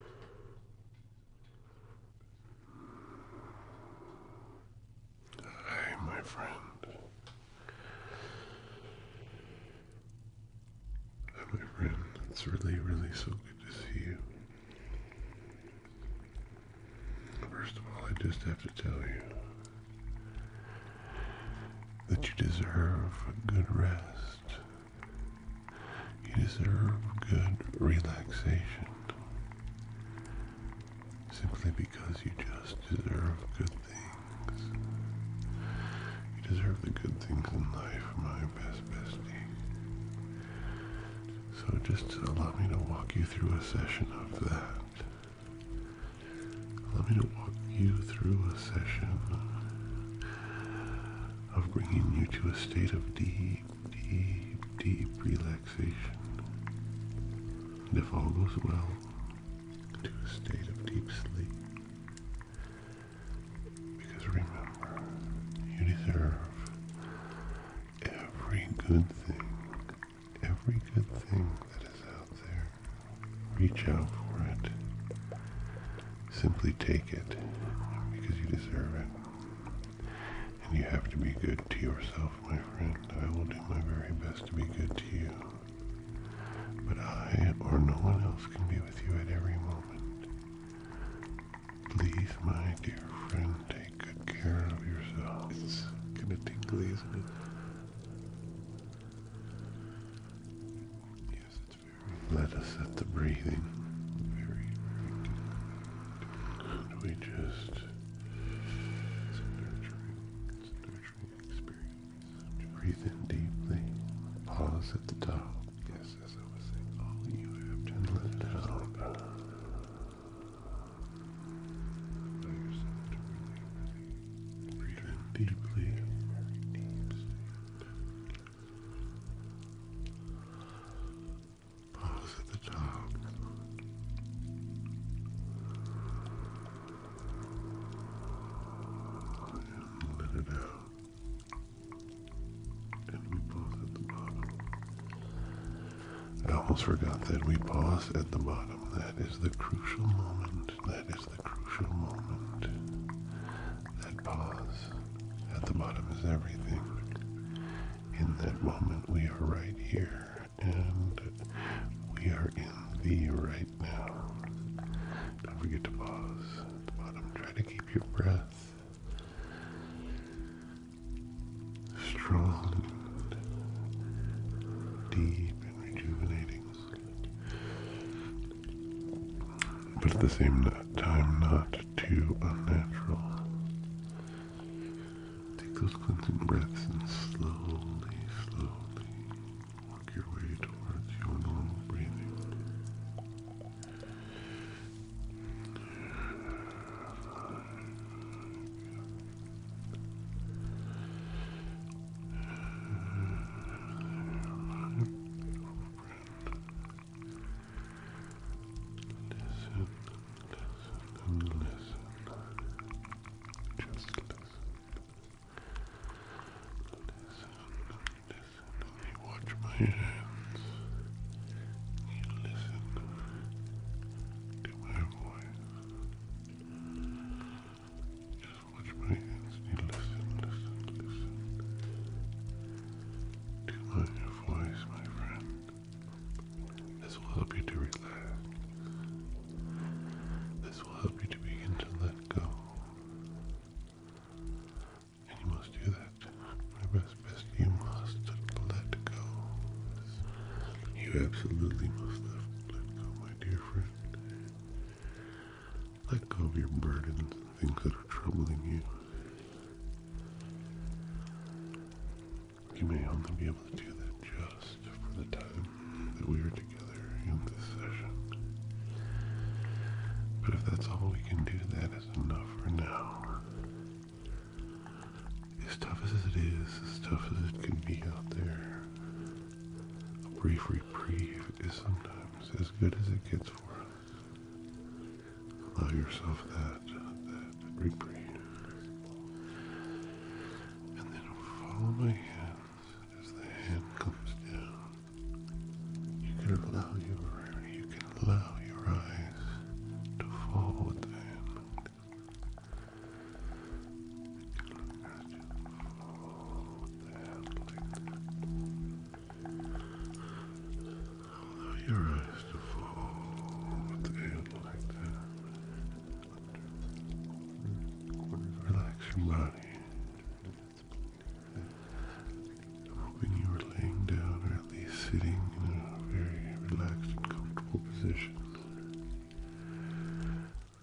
Hi, my friend. my friend. It's really, really so good to see you. First of all, I just have to tell you that you deserve a good rest. You deserve good relaxation simply because you just deserve good things. You deserve the good things in life, my best bestie. So just allow me to walk you through a session of that. Allow me to walk you through a session of bringing you to a state of deep deep, deep relaxation. And if all goes well, to a state of deep sleep. Because remember, you deserve every good thing, every good thing that is out there. Reach out for it. Simply take it because you deserve it. And you have to be good to yourself, my friend. I will do my very best to be good to you. But I or no one else can be with you at every moment. Please, my dear friend, take good care of yourself. It's kind of tingly, isn't it? Yes, it's let us at the breathing. we just. Breathe in deeply. Pause at the top. Yes, as I was saying, all you have to do is just let go. Allow breathe in deeply pause at the top. let it out. And we pause at the bottom. I almost forgot that we pause at the bottom. That is the crucial moment. That is the crucial moment that pause at the bottom is everything. In that moment, we are right here and we are in the right now. Don't forget to pause at the bottom. Try to keep your breath strong, deep, and rejuvenating. But at the same time, not too unnatural. Take those cleansing breaths and slowly, slowly work your way towards your normal breathing. Listen, listen, and listen. Just listen. Listen, listen. You watch my hands. You listen to my voice. Just watch my hands. You listen, listen, listen. To my voice, my friend. This will help you to relax. This will help you to begin to let go. And you must do that. My best, best, you must let go. You absolutely must let go, my dear friend. Let go of your burdens and things that are troubling you. You may only be able to do that just for the time that we are together in this session. But if that's all we can do, that is enough for now. As tough as it is, as tough as it can be out there, a brief reprieve is sometimes as good as it gets for us. Allow yourself that, that reprieve. And then follow my hands as the hand comes down. You can allow your you can allow your eyes to fall the hand. You can allow to fall the hand like that. Allow your eyes to fall in like that. Relax your body. I'm hoping you were laying down or at least sitting in a very relaxed and comfortable position.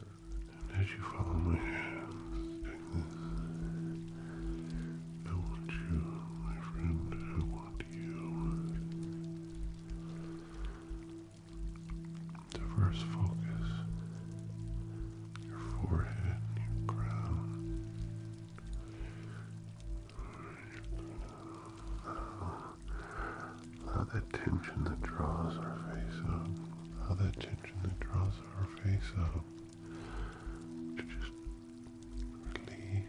And as you follow my hands I want you, my friend, I want you. Diverse focus. Your forehead, your crown. Allow that tension that draws our face up. Allow that tension that draws our face up. To just release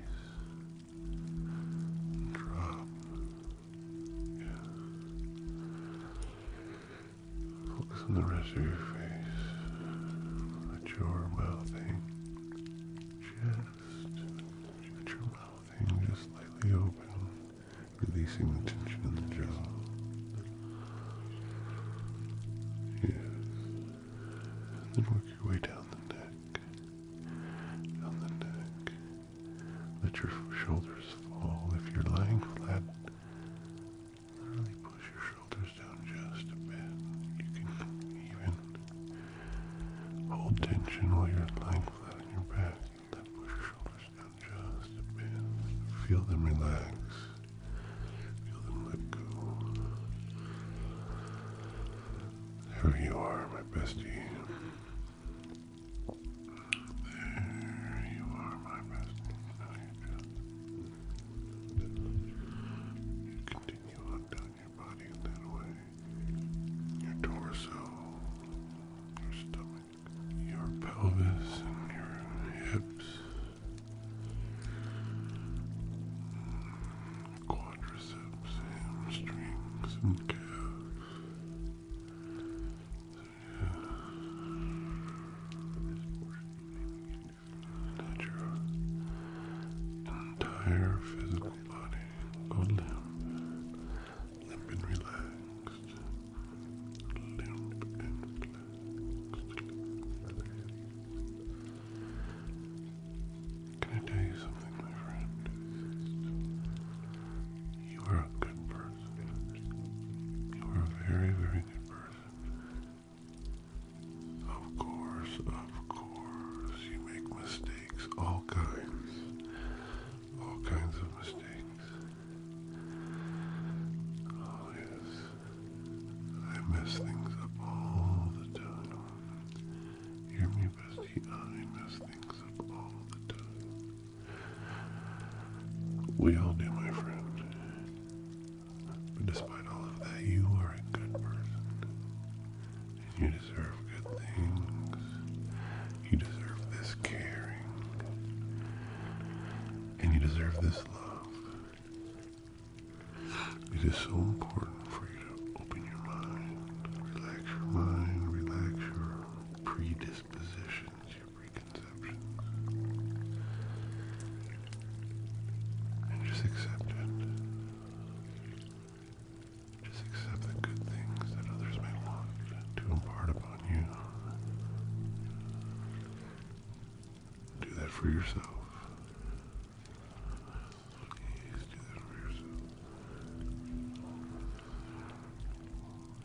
drop. Yeah. Focus on the rest of your face. Let your mouthing just let your mouthing just slightly open, releasing the tension in the jaw. Yes. then work your way down the neck. Let your shoulders fall. If you're lying flat, literally push your shoulders down just a bit. You can even hold tension while you're lying flat on your back. push your shoulders down just a bit. Feel them relax. Feel them let go who you are, my bestie. There you are, my bestie. you continue on down your body in that way. Your torso, your stomach, your pelvis, and your hips quadriceps, hamstrings, and calves. entire physical body. Go limp. and relaxed. and relaxed. Can I tell you something, my friend? You are a good person. You are a very, very good person. Of course, of course, you make mistakes, all kinds, all kinds of mistakes. Oh, yes, I mess things up all the time. Hear me, bestie. I mess things up all the time. We all do, my friend. But despite all of that, you are a good person. And you deserve good things. You deserve this caring. And you deserve this love. It is so important for you open your mind, relax your mind, relax your predispositions, your preconceptions, and just accept it. Just accept the good things that others may want to impart upon you. Do that for yourself.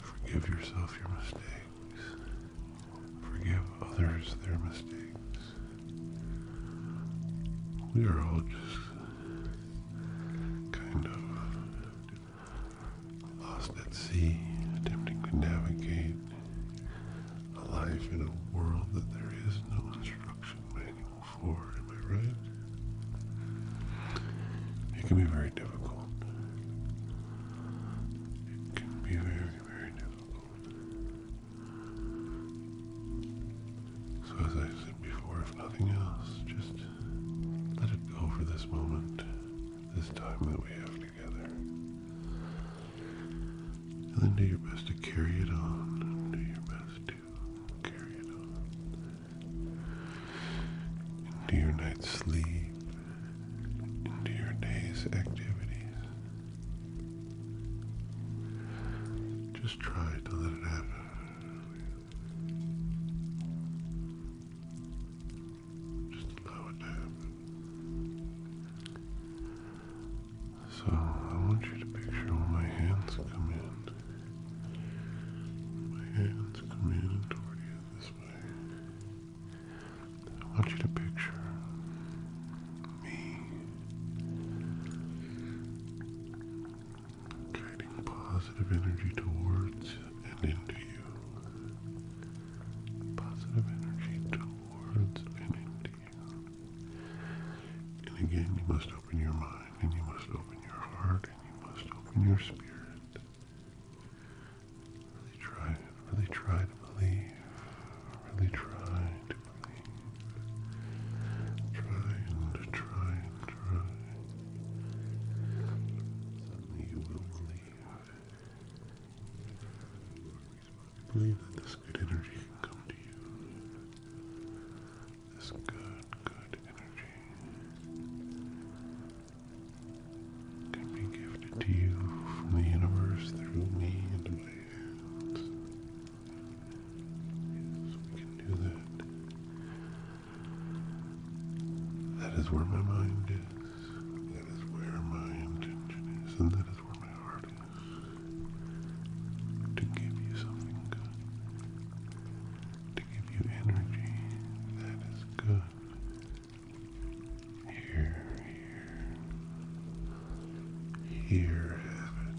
Forgive yourself your mistakes. Forgive others their mistakes. We are all just kind of lost at sea, attempting to navigate a life in a world that there is no instruction manual before, am I right? It can be very difficult. It can be very, very difficult. So, as I said before, if nothing else, just let it go for this moment, this time that we have together. And then do your best to carry it on. Do your best to into your night's sleep, into your day's activities. Just try to let it happen. Just allow it to happen. So I want you to picture all my hands come in. My hands come in toward you this way. I want you to picture me guiding positive energy towards and into you. Positive energy towards and into you. And again, you must open your mind and you must open your heart, and you must open your spirit. Really try, really try to believe. Really try to believe. Try and try and try. Suddenly you will believe. Believe that this good energy can come to you this good, good energy can be gifted to you from the universe through me and my hands. we can do that. That is where my mind is. That is where my intention is. And that is where my heart is. To give you something good give you energy that is good. Here, here, here, have it.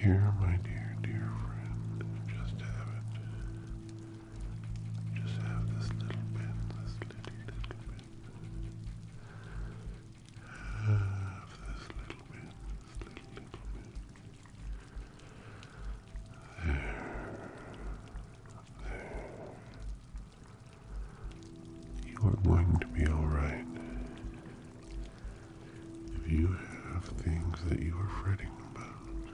Here, my dear, dear friend, just have it. Just have this little bit, this little, little bit. There, there. You are going to be alright. If you have things that you are fretting about,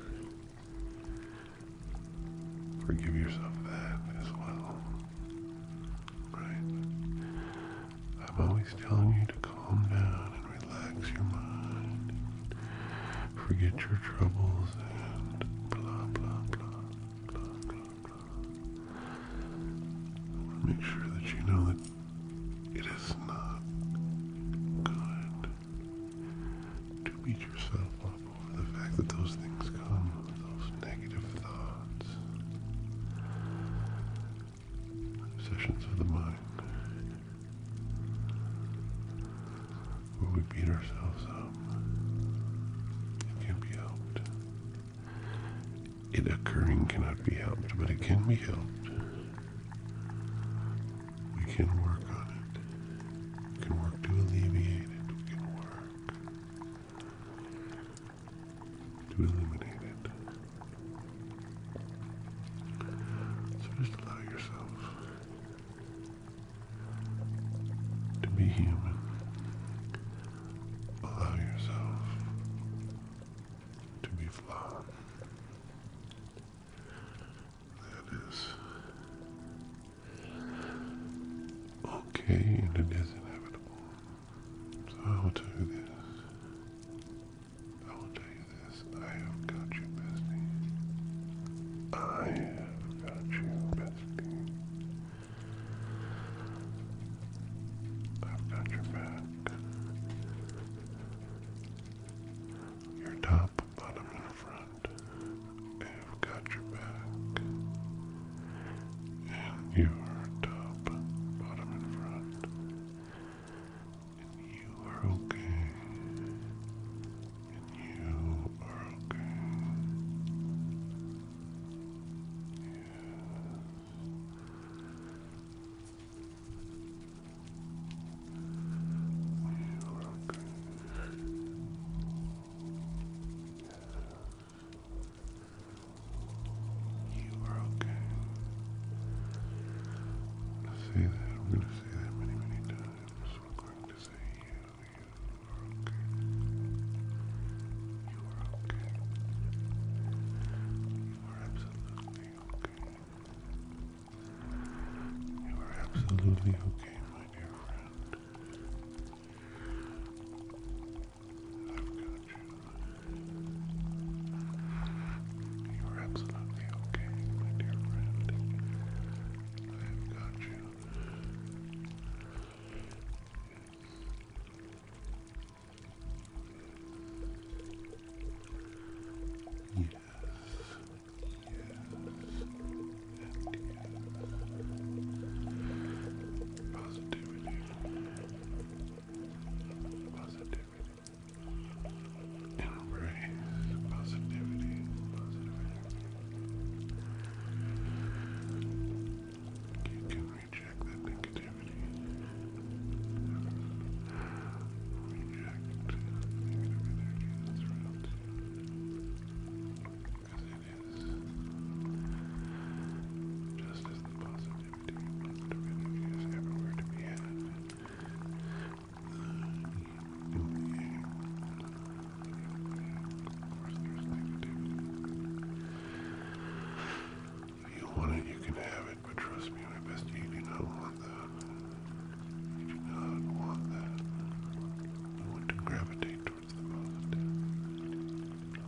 forgive yourself that as well. Right? I'm always telling you to calm down and relax your mind. And forget your troubles and blah, blah, blah, blah, blah, blah. I want to make sure that you know that it is not good to beat yourself up over the fact that those things come, those negative thoughts. Sessions of the mind. Where we beat ourselves up. It can be helped. It occurring cannot be helped, but it can be helped. We can work on it. We can work to alleviate it. We can work to eliminate it. So just allow yourself to be human. Allow yourself to be flawed. That is okay, and it is inevitable. So I will tell this. I will tell you this, I have got you, bestie. I have got you, bestie. I've got your back. Your top, bottom, and front. I've got your back. And your top, bottom, and front you are okay, you are okay. You are okay. You are okay. I'm gonna say that. I'm gonna say that many, many times. I'm going to say you. You are okay. You are okay. You are absolutely okay. You are absolutely okay, my dear friend. I've got you. You're absolutely okay, my dear friend. I've got you. Yes, yes, yes. Positivity. Positivity. Embrace the positivity, positive energy. You can reject that negativity. Reject negative energy that's around you. Because it is just as the positive activity, If you want it, you can have it, but trust me, my best, you do not want that. You do not want that. You want to gravitate towards the positive.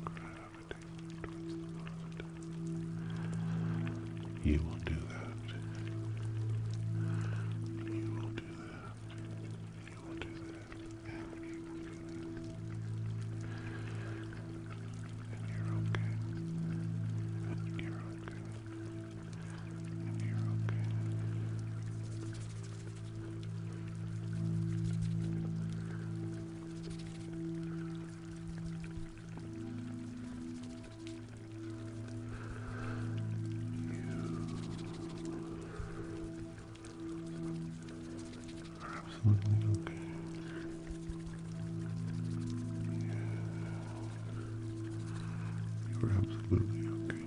Gravitate towards the positive. You will do that. You will do that. You will do that. And you will do that. And you're okay. And you're okay. And you're okay. You are absolutely okay. You are absolutely okay.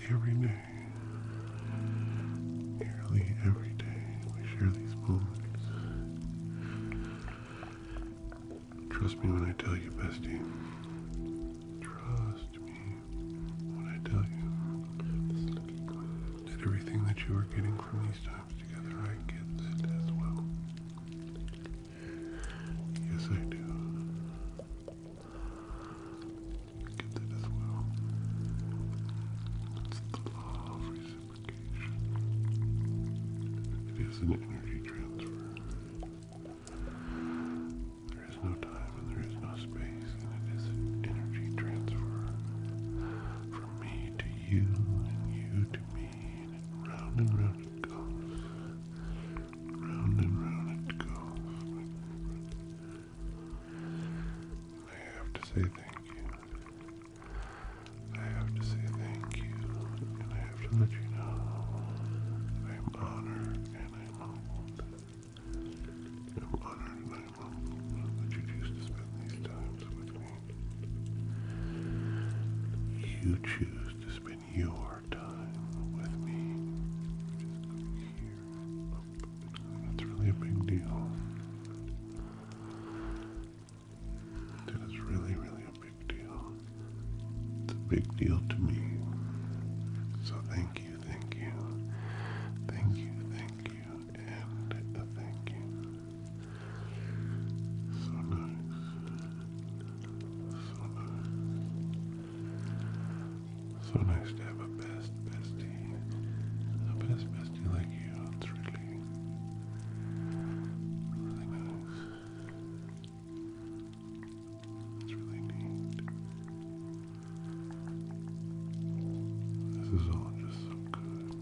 nearly every day. Nearly every day we share these moments. Trust me when I tell you, bestie. Trust me when I tell you that everything that you are getting from these times together, I get that as well. Yes, I do gifted as well. It's the law of reciprocation. It is an energy transfer. There is no time and there is no space, and it is an energy transfer from me to you and you to me, and it round and round it goes. Round and round it goes. I have to say thank you. I have to say thank you, and I have to let you know I'm honored and I'm humbled. I'm honored and I'm humbled that you choose to spend these times with me. You choose to spend your time with me here that's really a big deal. it's really, really a big deal. It's a big deal to me. So thank you, thank you, thank you, thank you, and uh, thank you. So nice. So nice. So nice to have a best bestie. A best bestie like you. It's really, really nice. It's really neat. This is all just so good.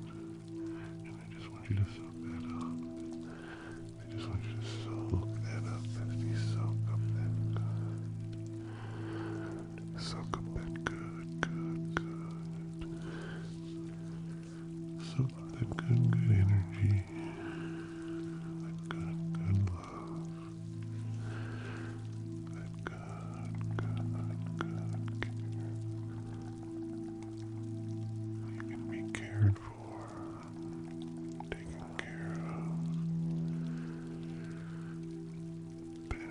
And I just want you to soak that up. I just want you to soak that up, bestie. Soak up that good. Suck up that good, good, good. Suck up that good, good energy. That good, good love. That good, good, good care. You can be cared for, taken care of. Been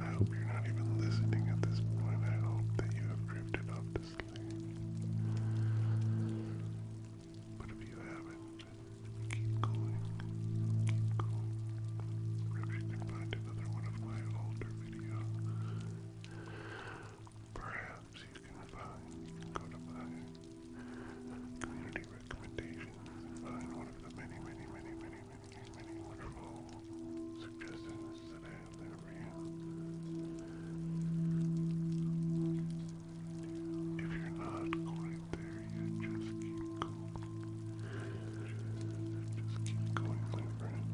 I hope you're not even listening at this point. I hope that you have drifted off to sleep. But if you haven't, keep going. Keep going. Perhaps you can find another one of my older videos. Perhaps you can find, go to my community recommendations one of the many, many, many, many, if you're not going there yet, just keep going. Just keep going, my friend.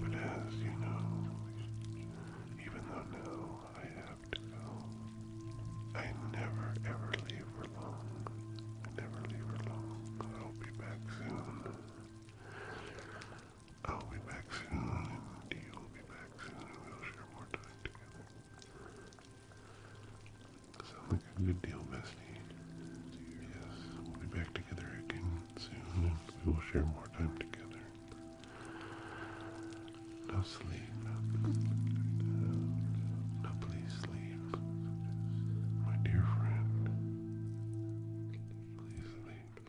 But as you know, even though now I have to go, I never ever leave her long. I never leave her long. I'll be back soon. I'll be back soon. You'll be back soon. We'll share more time together. Sounds like a good deal, bestie. Yes, we'll be back together again soon. And we will share more time together. Now sleep. Now, now please sleep my dear friend. Please sleep.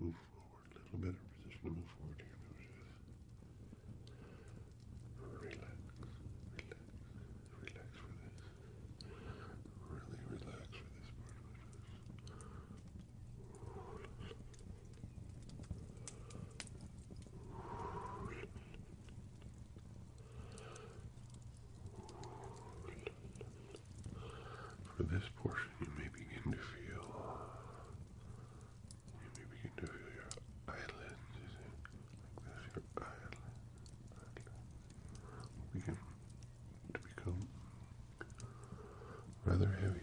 Just move forward a little bit, or position move forward here. Relax, relax, relax for this. Really relax for this part of it. Relax. For this portion, you may begin to feel. You may begin to feel your eyelids. Begin to become rather heavy.